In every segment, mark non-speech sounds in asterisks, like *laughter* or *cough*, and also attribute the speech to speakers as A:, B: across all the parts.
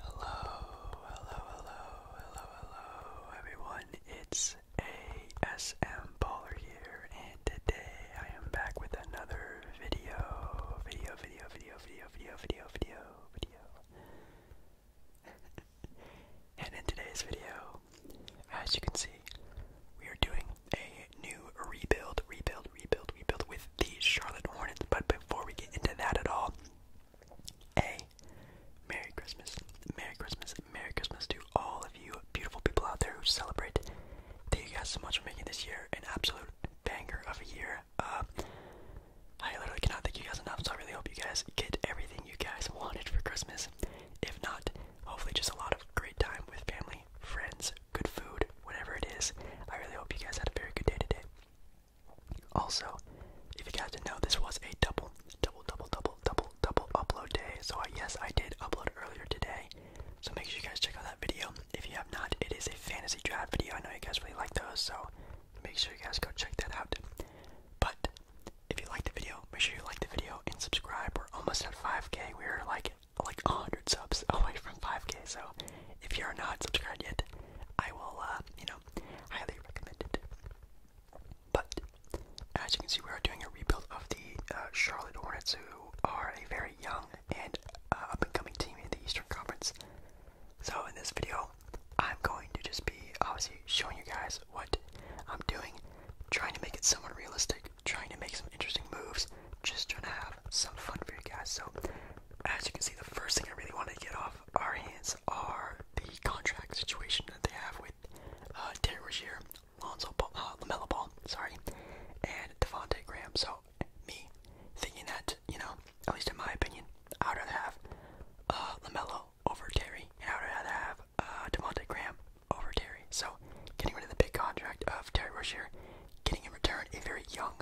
A: Hello, hello, hello, hello, hello, everyone. It's ASM Baller here, and today I am back with another video. Video, video, video, video, video, video, video, video. *laughs* and in today's video, as you can see, we are doing a new rebuild, rebuild, rebuild, rebuild with the Charlotte Hornets. But before we get into that at all, a. Merry Christmas. Merry Christmas. Merry Christmas to all of you beautiful people out there who celebrate. Thank you guys so much for making this year an absolute banger of a year. Uh, I literally cannot thank you guys enough, so I really hope you guys get everything you guys wanted for Christmas. If not, hopefully just a lot of great time with family, friends, good food, whatever it is. I really hope you guys had a very good day today. Also, if you guys didn't know, this was a double, double, double, double, double, double upload day. So I, yes, I did upload earlier today. So make sure you guys check out that video. If you have not, it is a fantasy draft video. I know you guys really like those, so make sure you guys go check that out. But if you like the video, make sure you like the video and subscribe. We're almost at 5k. We're like like 100 subs *laughs* away from 5k. So if you are not subscribed yet, I will uh, you know highly recommended. But as you can see, we are doing a rebuild of the uh, Charlotte Hornets, who are a very young and uh, up-and-coming team in the Eastern Conference. So in this video, I'm going to just be obviously showing you guys what I'm doing, trying to make it somewhat realistic, trying to make some interesting moves, just trying to have some fun for you guys. So as you can see, the first thing I really want to get off our hands are the contract situation that they have with Terry uh, Rozier, uh, Lamelo Ball, sorry, and Devontae Graham. So me thinking that you know, at least in my opinion, I would rather have uh, Lamelo over Terry, and I would rather have uh, Devontae Graham over Terry. So getting rid of the big contract of Terry Rozier, getting in return a very young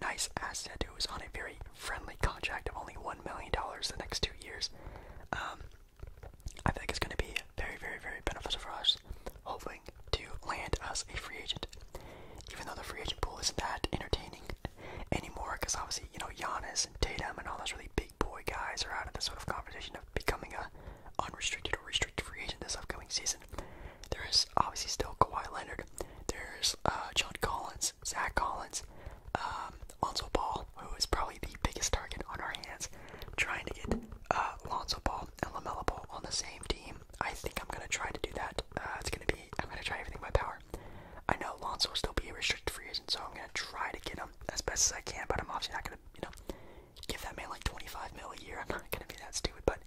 A: nice asset who was on a very friendly contract of only $1 million the next two years. Um, I think it's going to be very, very, very beneficial for us, hoping to land us a free agent. Even though the free agent pool isn't that entertaining anymore, because obviously, you know, Giannis and Tatum and all those really big boy guys are out of the sort of conversation of becoming a unrestricted or restricted free agent this upcoming season. There is obviously still Kawhi Leonard, there's uh, John Collins, Zach Collins, um, Lonzo Ball, who is probably the biggest target on our hands. trying to get uh, Lonzo Ball and Lamella Ball on the same team. I think I'm gonna try to do that. Uh, it's gonna be. I'm gonna try everything in my power. I know Lonzo will still be a restricted free agent, so I'm gonna try to get him as best as I can. But I'm obviously not gonna, you know, give that man like 25 mil a year. I'm not gonna be that stupid. But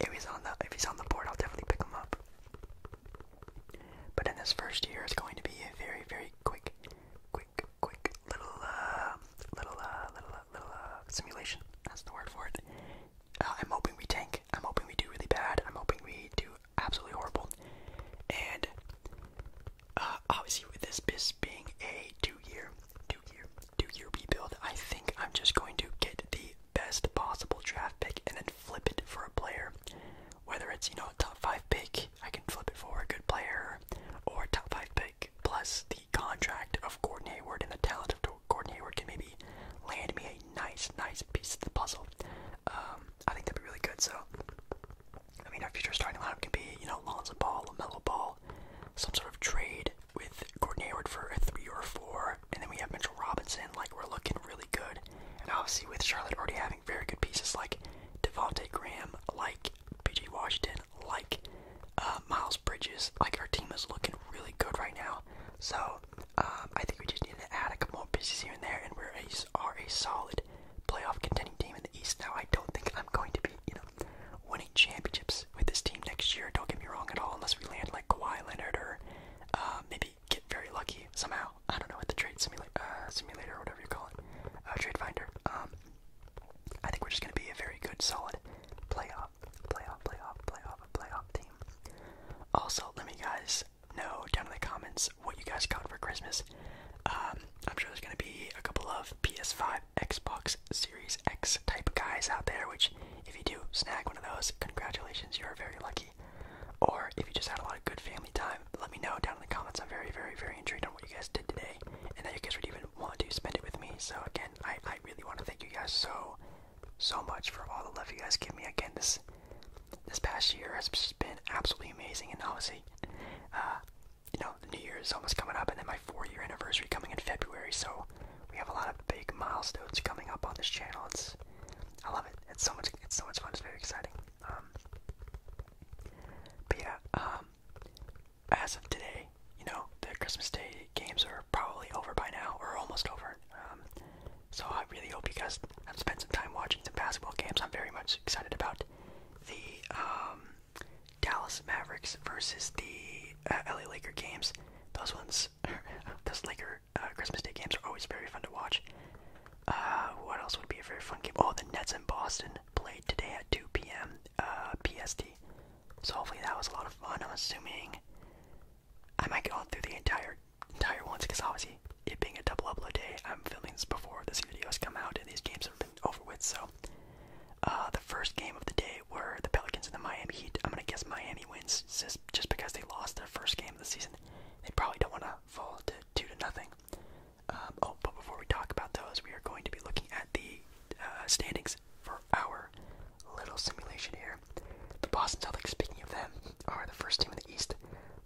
A: if he's on the if he's on the board, I'll definitely pick him up. But in this first year, it's going to be a very, very quick, quick, quick little, uh, little, uh, little, uh, little simulation. That's the word for it. I'm hoping we tank. I'm hoping we do really bad. I'm hoping we do absolutely horrible. And obviously, with this bis being a two-year, two-year, two-year rebuild, I think I'm just going to get the best possible draft pick in then flip it for a player. Whether it's, you know, a top 5 pick, I can flip it for a good player, or top 5 pick plus the contract of Gordon Hayward and the talent of Gordon Hayward can maybe land me a nice, nice piece of the puzzle. Um, I think that'd be really good. So, I mean, our future starting lineup can be, you know, Lonzo Ball, LaMelo Ball, some sort of trade with Gordon Hayward for a three or four, and then we have Mitchell Robinson. Like, we're looking really really good. And obviously, with Charlotte already having very good pieces like Devonte Graham, like PJ Washington, like uh, Miles Bridges, like our team is looking really good right now. So um, I think we just need to add a couple more pieces here and there, and we're a, are a solid playoff contending team in the East. Now I don't think I'm going to be, you know, winning championships with this team next year. Don't get me wrong at all, unless we land like Kawhi Leonard or uh, maybe get very lucky somehow. I don't know what the trade uh, simulator, or whatever you call it, uh, trade finder. Um, I think we're just gonna be a very good, solid playoff, playoff, playoff, playoff, playoff team. Also, let me guys know down in the comments what you guys got for Christmas. Um, I'm sure there's gonna be a couple of PS5, Xbox Series X type guys out there. Which, if you do snag one of those, congratulations, you are very lucky. Or if you just had a lot of good family time, let me know down in the comments. I'm very, very, very intrigued on what you guys did today and that you guys would even want to spend it with me. So, again, I, really want to thank you guys so, so much for all the love you guys give me. Again, this this past year has been absolutely amazing. And obviously, uh, you know, the new year is almost coming up and then my four year anniversary coming in February. So, we have a lot of big milestones coming up on this channel. It's I love it. It's so much. It's so much fun. It's very exciting. Um, but yeah, um, as of today, you know, the Christmas Day games are probably over by now, or almost over. Um, so I really hope you guys have spent some time watching some basketball games. I'm very much excited about the Dallas Mavericks versus the uh, LA Lakers games. Those ones, *laughs* those Lakers. Uh, Christmas Day games are always very fun to watch. Uh, what else would be a very fun game? Oh, the Nets in Boston played today at 2 p.m. Uh, PST. So hopefully that was a lot of fun. I'm assuming I might go through the entire entire ones because obviously it being a double double day, I'm filming this before this video has come out and these games have been over with. So the first game of the day were the Pelicans and the Miami Heat. I'm gonna guess Miami wins just because they lost their first game of the season. They probably don't want to fall to two to nothing. Um, oh, but before we talk about those, we are going to be looking at the uh, standings for our little simulation here. The Boston Celtics, speaking of them, are the first team in the East,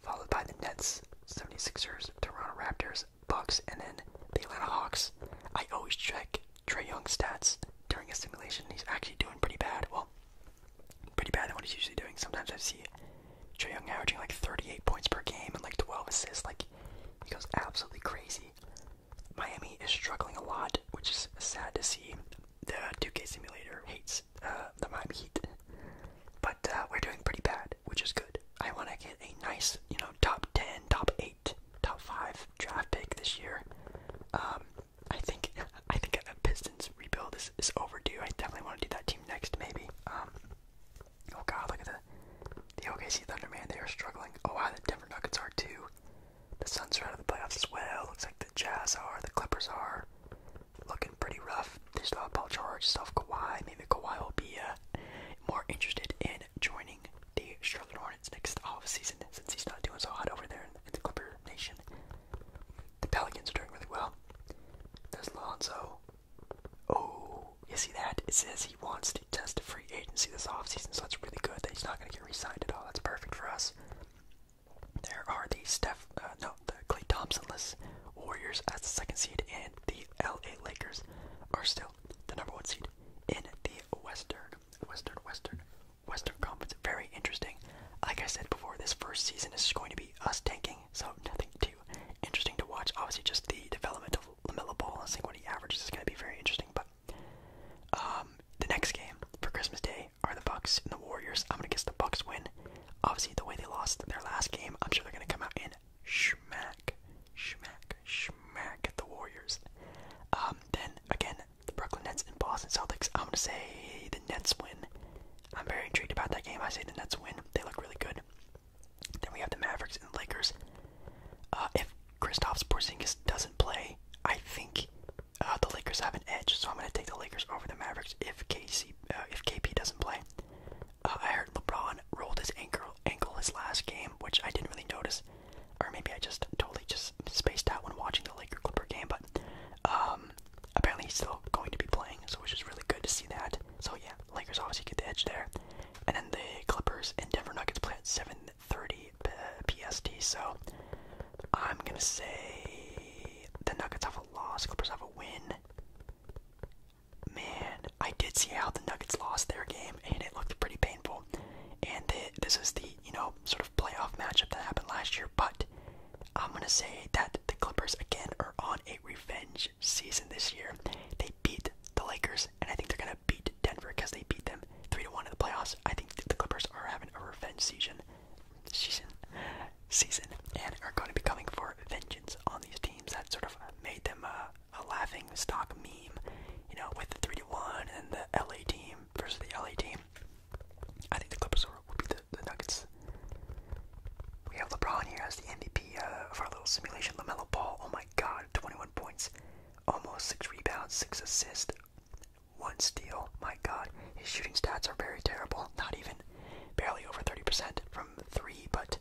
A: followed by the Nets, 76ers, Toronto Raptors, Bucks, and then the Atlanta Hawks. I always check Trey Young's stats during a simulation. He's actually doing pretty bad. Well, pretty bad than what he's usually doing. Sometimes I see Trae Young averaging like 38 points per game and like 12 assists. Like he goes absolutely crazy. Miami is struggling a lot, which is sad to see. The 2K simulator hates uh, the Miami Heat, but uh, we're doing pretty bad, which is good. I want to get a nice, you know, top 10, top 8, top 5 draft pick this year. Um, I think I think a Pistons rebuild is, is overdue. I definitely want to do that team next, maybe. Um, oh god, look at the the OKC Thunder, man. They are struggling. Oh wow, the Denver Nuggets are too. The Suns are out of the playoffs as well. Looks like the Jazz are. The Clippers are looking pretty rough. They still have Paul George, still have Kawhi. Maybe Kawhi will be uh, more interested in joining the Charlotte Hornets next off season since he's not doing so hot over there in the Clipper Nation. The Pelicans are doing really well. There's Lonzo. Oh, you see that? It says he wants to test a free agency this offseason, so that's really good that he's not going to get re signed at all. That's perfect for us. There are the Steph, uh, no, the Clay less Warriors as the second seed, and the LA Lakers are still the number one seed in the Western, Western, Western, Western Conference. Very interesting. Like I said before, this first season is going to be us tanking so nothing too interesting to watch. Obviously, just the development of Lamelo Ball and seeing what he averages is going to be very interesting. But um, the next game for Christmas Day are the Bucks and the Warriors. I'm going to guess the Bucks win. Obviously, the way they lost their last game, I'm sure they're going to come out and schmack, schmack, schmack at the Warriors. Um, then again, the Brooklyn Nets and Boston Celtics. I'm going to say the Nets win. I'm very intrigued about that game. I say the Nets win. They look really good. Then we have the Mavericks and Lakers. Uh, if Kristaps Porzingis doesn't play, I think uh, the Lakers have an edge. So I'm going to take the Lakers over the Mavericks if KC, uh, if KP doesn't play. Uh, I heard LeBron rolled his ankle ankle his last game, which I didn't really notice, or maybe I just totally just spaced out when watching the Laker Clipper game. But um, apparently he's still going to be playing, so which is really good to see that. So yeah, Lakers obviously get the edge there, and then the Clippers and Denver Nuggets play at 7:30 PST. So I'm gonna say the Nuggets have a loss, Clippers have a win. Man, I did see how the Nuggets lost their game, and it looked pretty painful. And this is the you know sort of playoff matchup that happened last year, but I'm gonna say that the Clippers again are on a revenge season this year. They beat the Lakers, and I think they're gonna beat Denver because they beat them three to one in the playoffs. I think the Clippers are having a revenge season, season, season, and are going to be coming for vengeance on these teams that sort of made them a, laughing stock meme. You know, with the three to one and the LA team versus the LA team. I think the Clippers are or would be the, the Nuggets. We have LeBron here as the MVP uh, of our little simulation. LaMelo Ball, oh my god, 21 points, almost 6 rebounds, 6 assists, 1 steal. My god, his shooting stats are very terrible. Not even barely over 30% from 3, but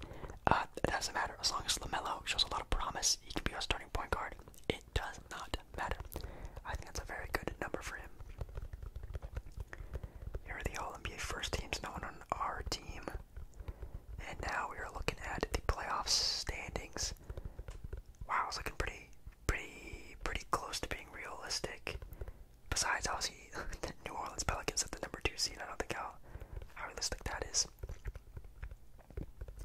A: uh, it doesn't matter. As long as LaMelo shows a lot of promise, he can be our starting point guard. It does not matter. I think that's a very good number for him. Here are the All NBA first teams, no one on our team. And now we are looking at the playoffs standings. Wow, it's looking pretty, pretty, pretty close to being realistic. Besides, obviously, *laughs* the New Orleans Pelicans at the number two seed. I don't think how, realistic that is.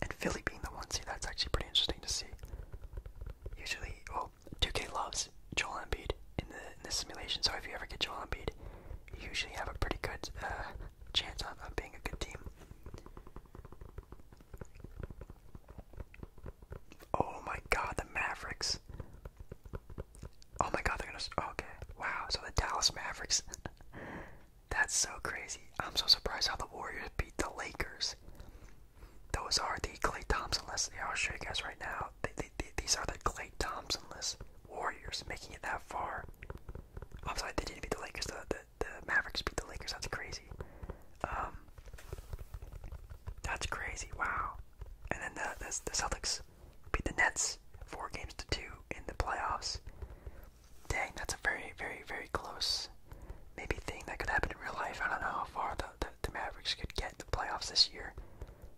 A: And Philly being the one seed, that's actually pretty interesting to see. Usually, well, 2K loves Joel Embiid in the, in the simulation, so if you ever get Joel Embiid, you usually have a pretty good uh, chance of, of being a good team. Oh my god, the Mavericks. Oh my god, they're gonna. Okay, wow, so the Dallas Mavericks. *laughs* That's so crazy. I'm so surprised how the Warriors beat the Lakers. Those are the Clay Thompson list. I'll show you guys right now these are the Clay Thompsonless Warriors making it that far. I'm sorry, they didn't beat the Lakers. The, the, Mavericks beat the Lakers. That's crazy. Um, that's crazy. Wow. And then the, the, Celtics beat the Nets four games to two in the playoffs. Dang, that's a very, very, very close maybe thing that could happen in real life. I don't know how far the the Mavericks could get the playoffs this year.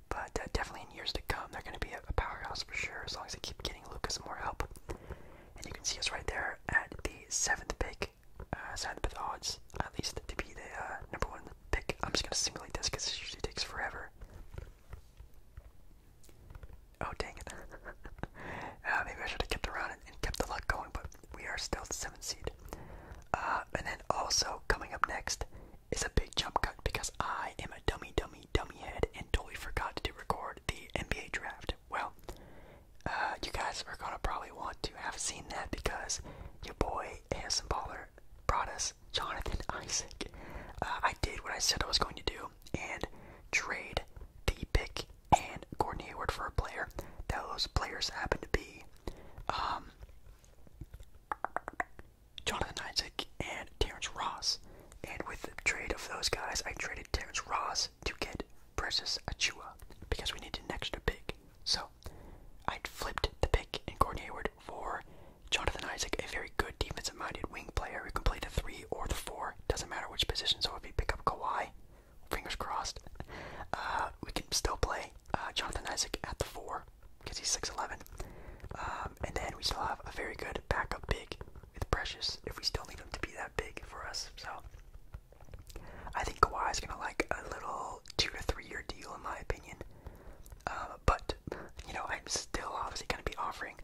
A: But uh, definitely in years to come, they're going to be a powerhouse for sure as long as they keep getting Lucas more help. And you can see us right there at the seventh pick, uh, seventh odds, at least to be the uh, number one pick. I'm just going to simulate this because it usually takes forever. Oh, dang it. *laughs* uh, maybe I should have kept around and, and kept the luck going, but we are still the seventh seed. Uh, and then also coming up next it's a big jump cut because I am a dummy, dummy, dummy head and totally forgot to record the NBA draft. Well, uh, you guys are gonna probably want to have seen that because your boy ASM Baller brought us Jonathan Isaac. Uh, I did what I said I was going to do and trade the pick and Gordon Hayward for a player. Those players happen to be um, Jonathan Isaac and Terrence Ross. And with the trade of those guys, I traded Terrence Ross to get Precious Achua because we needed an extra pick. So I flipped the pick and Gordon Hayward for Jonathan Isaac, a very good defensive minded wing player who can play the three or the four, doesn't matter which position. So if we pick up Kawhi, fingers crossed, uh, we can still play uh, Jonathan Isaac at the four because he's 6'11. Um, and then we still have a very good backup big with Precious if we still need him to be that big for us. So I think Kawhi is going to like a little two to three year deal, in my opinion. Um, but, you know, I'm still obviously going to be offering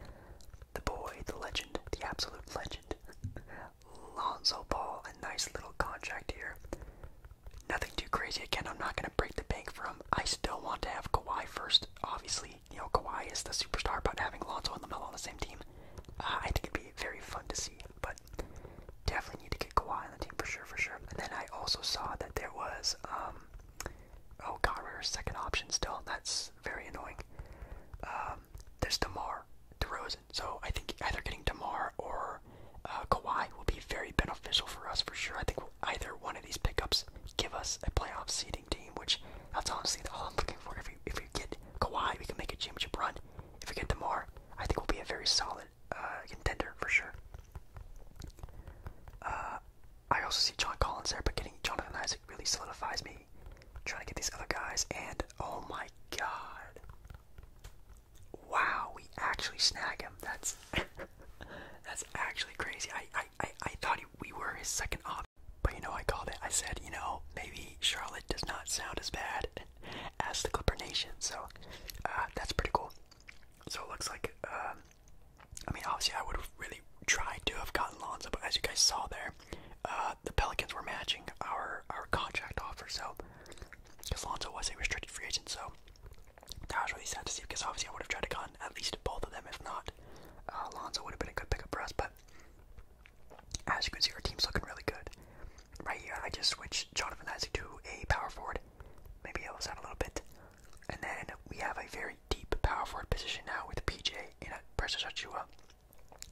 A: the boy, the legend, the absolute legend, Lonzo Ball, a nice little contract here. Nothing too crazy. Again, I'm not going to I break the bank from. I still want to have Kawhi first. Obviously, you know, Kawhi is the superstar, but having Lonzo and LaMelo on the same team, uh, I think it'd be very fun to see. But definitely need to get Kawhi on the team for sure, for sure. And then I also saw that there was, um, oh god, we're second option still. That's very annoying. Um, there's DeMar DeRozan. So I think either getting Damar or uh, Kawhi will be very beneficial for us for sure. I think we'll either one of these pickups give us a playoff seeding team, which that's honestly all I'm looking for. If we if we get Kawhi, we can make a championship run. If we get Demar, I think we'll be a very solid uh, contender for sure. Uh, I also see John Collins there, but getting Jonathan Isaac really solidifies me. trying to get these other guys, and oh my god. Wow, we actually snag him. That's *laughs* That's actually crazy. I, I, I, I thought we were his second option. But you know, I called it. I said, you know, maybe Charlotte does not sound as bad as the Clipper Nation. So uh, that's pretty cool. So it looks like, um, I mean, obviously, I would have really tried to have gotten Lonzo, but as you guys saw there, uh, the Pelicans were matching our our contract offer. So because Lonzo was a restricted free agent, so that was really sad to see because obviously I would have tried to get at least both of them, if not, uh, would have been a good pickup for us. But as you can see, our team's looking really good. Right here, I just switched Jonathan Isaac to a power forward. Maybe helps out a little bit. And then we have a very deep power forward position now with PJ in a uh, Precious Achua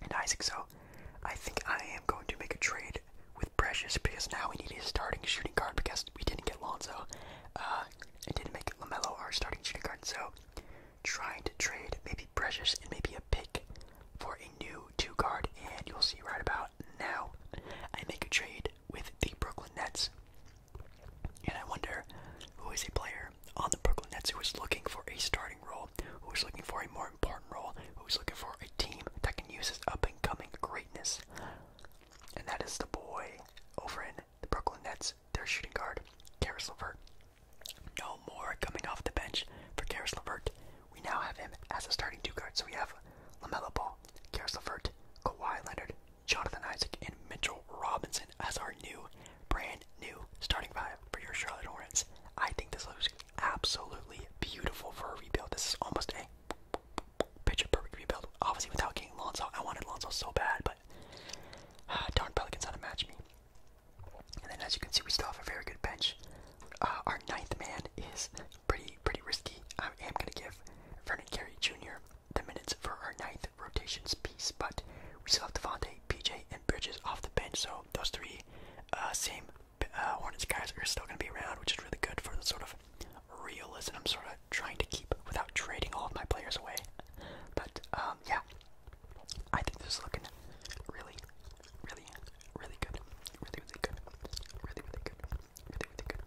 A: and Isaac. So I think I am going to make a trade with Precious because now we need a starting shooting guard because we didn't get Lonzo. Uh, and didn't make LaMelo our starting shooting guard, so trying to trade maybe Precious and maybe a pick for a new two guard, and you'll see right about now I make a trade with the Brooklyn Nets. And I wonder who is a player on the Brooklyn Nets who is looking for a starting role, who is looking for a more important role, who is looking for a team that can use his up and coming greatness and that is the boy over in the Brooklyn Nets, their shooting guard, Karis LeVert. No more coming off the bench for Karis LeVert. We now have him as a starting two guard. So we have Lamella Ball, Karis LeVert, Kawhi Leonard, Jonathan Isaac, and Mitchell Robinson as our new, brand new starting five for your Charlotte Hornets. I think this looks absolutely beautiful for a rebuild. This is almost a Picture perfect rebuild. Obviously, without getting Lonzo, I wanted Lonzo so bad, but uh, *sighs* darn Pelicans how to match me. And then, as you can see, we still have a very good bench. Uh, our ninth man is pretty pretty risky. I am gonna give Vernon Carey Jr. the minutes for our ninth rotations piece, but we still have Devontae, PJ, and Bridges off the bench, so those three uh, same uh, Hornets guys are still gonna be around, which is really good for the sort of realism sort of trying to keep without trading all of my players away. But um, yeah, I think this is looking really, really, really good. Really, really good. Really, really good. Really, really good.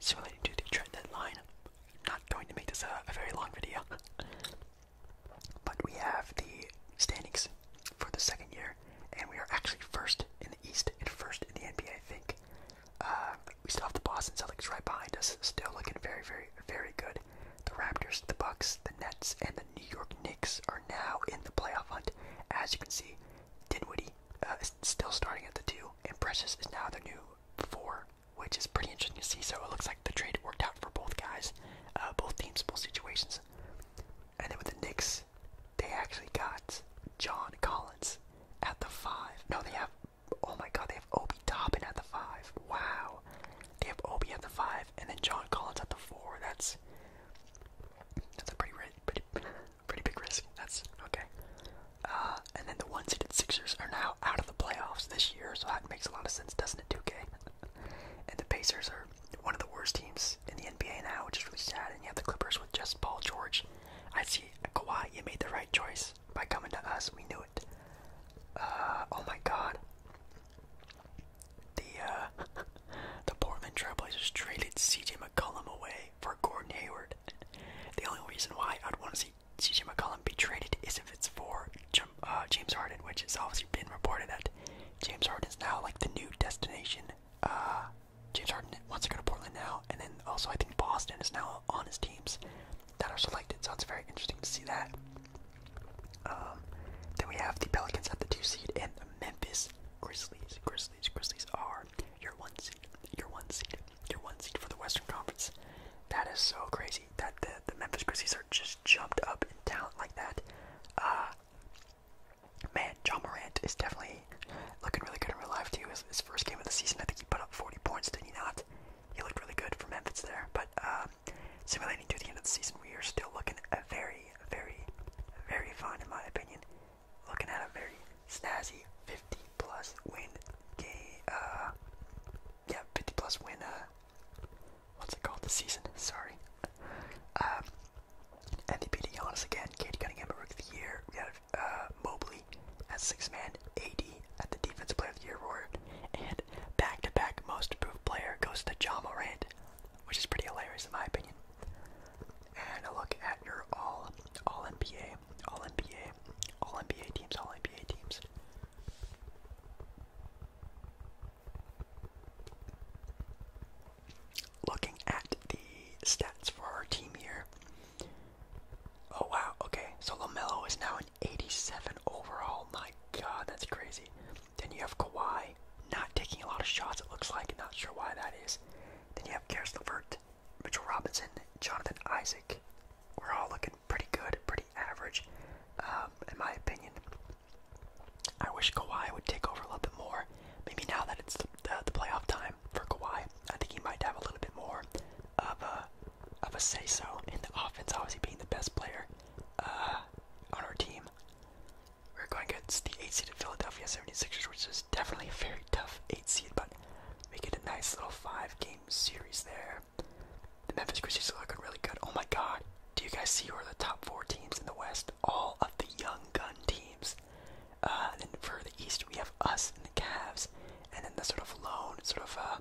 A: So relating to the trend line, not going to make this a, a very long video. *laughs* But we have the standings for the second year, and we are actually first in the East and first in the NBA, I think. Uh, we still have the Boston Celtics right behind us, still looking very, very, very good. The Raptors, the Bucks, the Nets, and the New York Knicks are now in the playoff hunt. As you can see, Dinwiddie uh, is still starting at the two, and Precious is now the new four, which is pretty interesting to see. So it looks like the trade worked out for both guys, uh, both teams, both situations. And then with the Knicks, they actually got John Collins, at the five. No, they have. Oh my God, they have Obi Toppin at the five. Wow, they have Obi at the five, and then John Collins at the four. That's that's a pretty pretty pretty big risk. That's okay. Uh, and then the one-seeded Sixers are now out of the playoffs this year, so that makes a lot of sense, doesn't it, 2K? and the Pacers are one of the worst teams in the NBA now, which is really sad. And you have the Clippers with just Paul George. i see Kawhi, you made the right choice by coming to us. We knew it. Uh, oh my God. The uh, *laughs* the Portland Trailblazers traded C.J. McCollum away for Gordon Hayward. The only reason why I'd want to see C.J. McCollum be traded is if it's for uh, James Harden, which has obviously been reported that James Harden is now like the new destination James Harden wants to go to Portland now, and then also I think Boston is now on his teams that are selected, so it's very interesting to see that. Um, then we have the Pelicans at the two seed and the Memphis Grizzlies. Grizzlies, Grizzlies are your one seed, your one seed, your one seed for the Western Conference. That is so crazy that the, the Memphis Grizzlies are just jumped up in talent like that. Uh, man, John Morant is definitely looking really good in real life too. His, first game of the season, I think he put up 40 points, did he not? He looked really good for Memphis there. But um, simulating to the end of the season, we are still looking very, very, very fine in my opinion. Looking at a very snazzy 50 plus win uh, yeah, 50 plus win. Uh, what's it called? The season. Sorry. Um, MVP Giannis again. Katie Cunningham, Rookie of the Year. We uh, Mobley as six man, AD at the Defensive Player of the Year award, and back to back Most Improved Player goes to John Morant, which is pretty hilarious in my opinion. And a look at your all All NBA, All NBA, All NBA teams, All NBA teams. Looking at the stats for our team here, Oh wow, okay. So LaMelo is now an 87 overall. My god, that's crazy. Then you have Kawhi, not taking a lot of shots, it looks like. Not sure why that is. Then you have Karis LeVert, Mitchell Robinson, Jonathan Isaac. We're all looking pretty good, pretty average, um, in my opinion. I wish Kawhi would take over a little bit more. Maybe now that it's the, the playoff time for Kawhi, I think he might have a little bit more of a of a say so in the offense. Obviously, being the best player uh, on our team, we're going against the eight seed Philadelphia 76ers, which is definitely a very tough eight seed, but we get a nice little five game series there. The Memphis Grizzlies are looking really good. Oh my God! Do you guys see who are the top four teams in the West? All of the young gun teams. Uh, and then for the East, we have us and the Cavs, and then the sort of lone, sort of uh,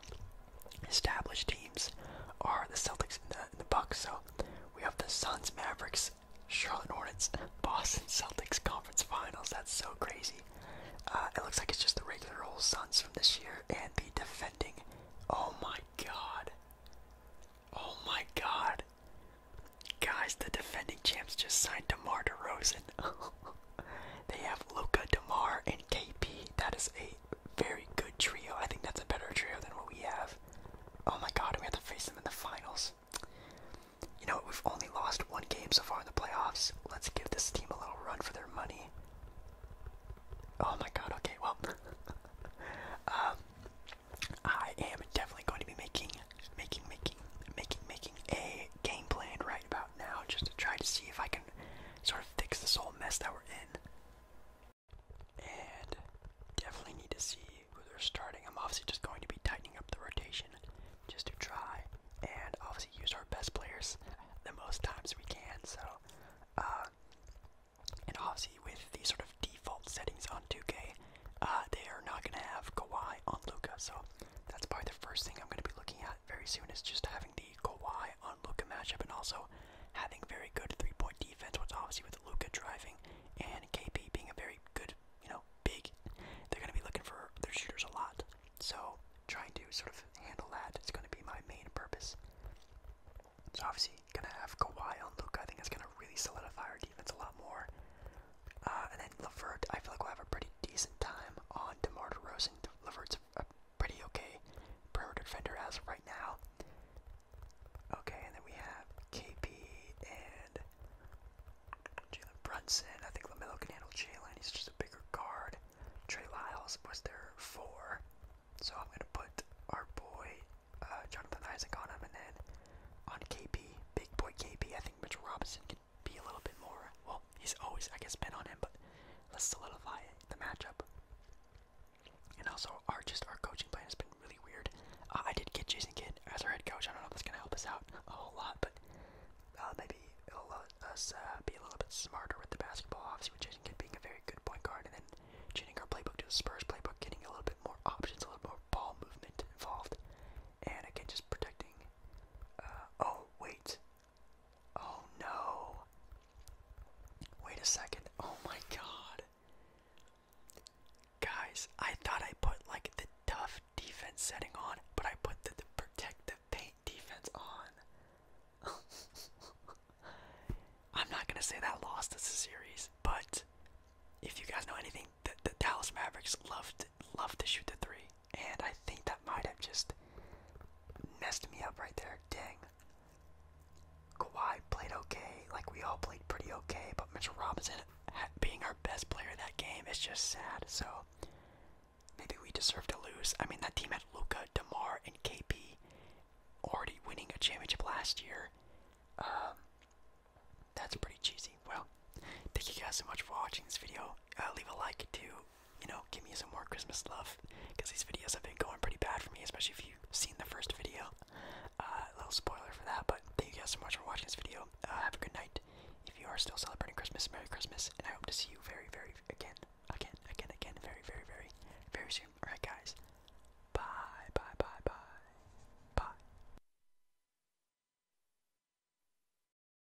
A: established teams are the Celtics and the, Bucks. So we have the Suns, Mavericks, Charlotte Hornets, Boston Celtics conference finals. That's so crazy. Uh, it looks like it's just the regular old Suns from this year and the defending. Oh my god. Oh my god. Guys, the defending champs just signed DeMar DeRozan. *laughs* They have Luca, Demar, and KP. That is a very good trio. I think that's a better trio than what we have. Oh my God, we have to face them in the finals. You know, we've only lost one game so far in the playoffs. Let's give this team a little run for their money. Oh my God. Okay. Well, *laughs* um, I am definitely going to be making, making, making, making, making a game plan right about now just to try to see if I can sort of fix this whole mess that we're in. And definitely need to see who they're starting. I'm obviously just going to be tightening up the rotation just to try and obviously use our best players the most times we can. So, uh, and obviously with these sort of default settings on 2K, uh, they are not going to have Kawhi on Luca. So that's probably the first thing I'm going to be looking at very soon is just having the Kawhi on Luka matchup and also having very good three point defense, What's obviously with Luka driving and KP being a very good, you know, big, they're going to be looking for their shooters a lot. So trying to sort of handle that is going to be my main purpose. So obviously gonna have Kawhi on Luka. I think it's gonna really solidify our defense a lot more. Uh, and then Levert, I feel like we'll have a pretty decent time on DeMar DeRozan. Levert's a pretty okay perimeter defender as of right now. Okay, and then we have KP and Jalen Brunson. I think LaMelo can handle Jalen. He's just a bigger guard. Trey Lyles was there for, So I'm going to put our boy uh, Jonathan Isaac on him. And then on KP, big boy KP, I think Mitchell Robinson can be a little bit more. Well, he's always, I guess, been on him, but let's solidify the matchup. And also, our just our coaching plan has been really weird. Uh, I did get Jason Kidd as our head coach. I don't know if that's gonna help us out a whole lot, but uh, maybe it'll let us uh, be a little bit smarter with the basketball. Obviously, with Jason Kidd being a very good point guard, and then changing our playbook to the Spurs playbook, getting a little bit more options, a little more ball movement involved, and again, just protecting. oh wait, Oh no. Wait a second. Oh my god. Guys, I thought I put like the tough defense setting on, but I put the, the protective paint defense on. *laughs* I'm not gonna say that lost us the series, but if you guys know anything, that the Dallas Mavericks loved love to shoot the three, and I think that might have just messed me up right there. Ding. Kawhi played okay, like we all played pretty okay, but Mitchell Robinson being our best player that game is just sad. So maybe we deserve to lose. I mean, that team had Luca, Demar, and KP already winning a championship last year. Um, that's pretty cheesy. Well, thank you guys so much for watching this video. Uh, leave a like too you know, give me some more Christmas love, because these videos have been going pretty bad for me, especially if you've seen the first video. Uh, a little spoiler for that, but thank you guys so much for watching this video. Uh, have a good night. If you are still celebrating Christmas, Merry Christmas, and I hope to see you very, very again, again, again, again, very, very, very, very soon. Alright, guys. Bye, bye, bye, bye, bye.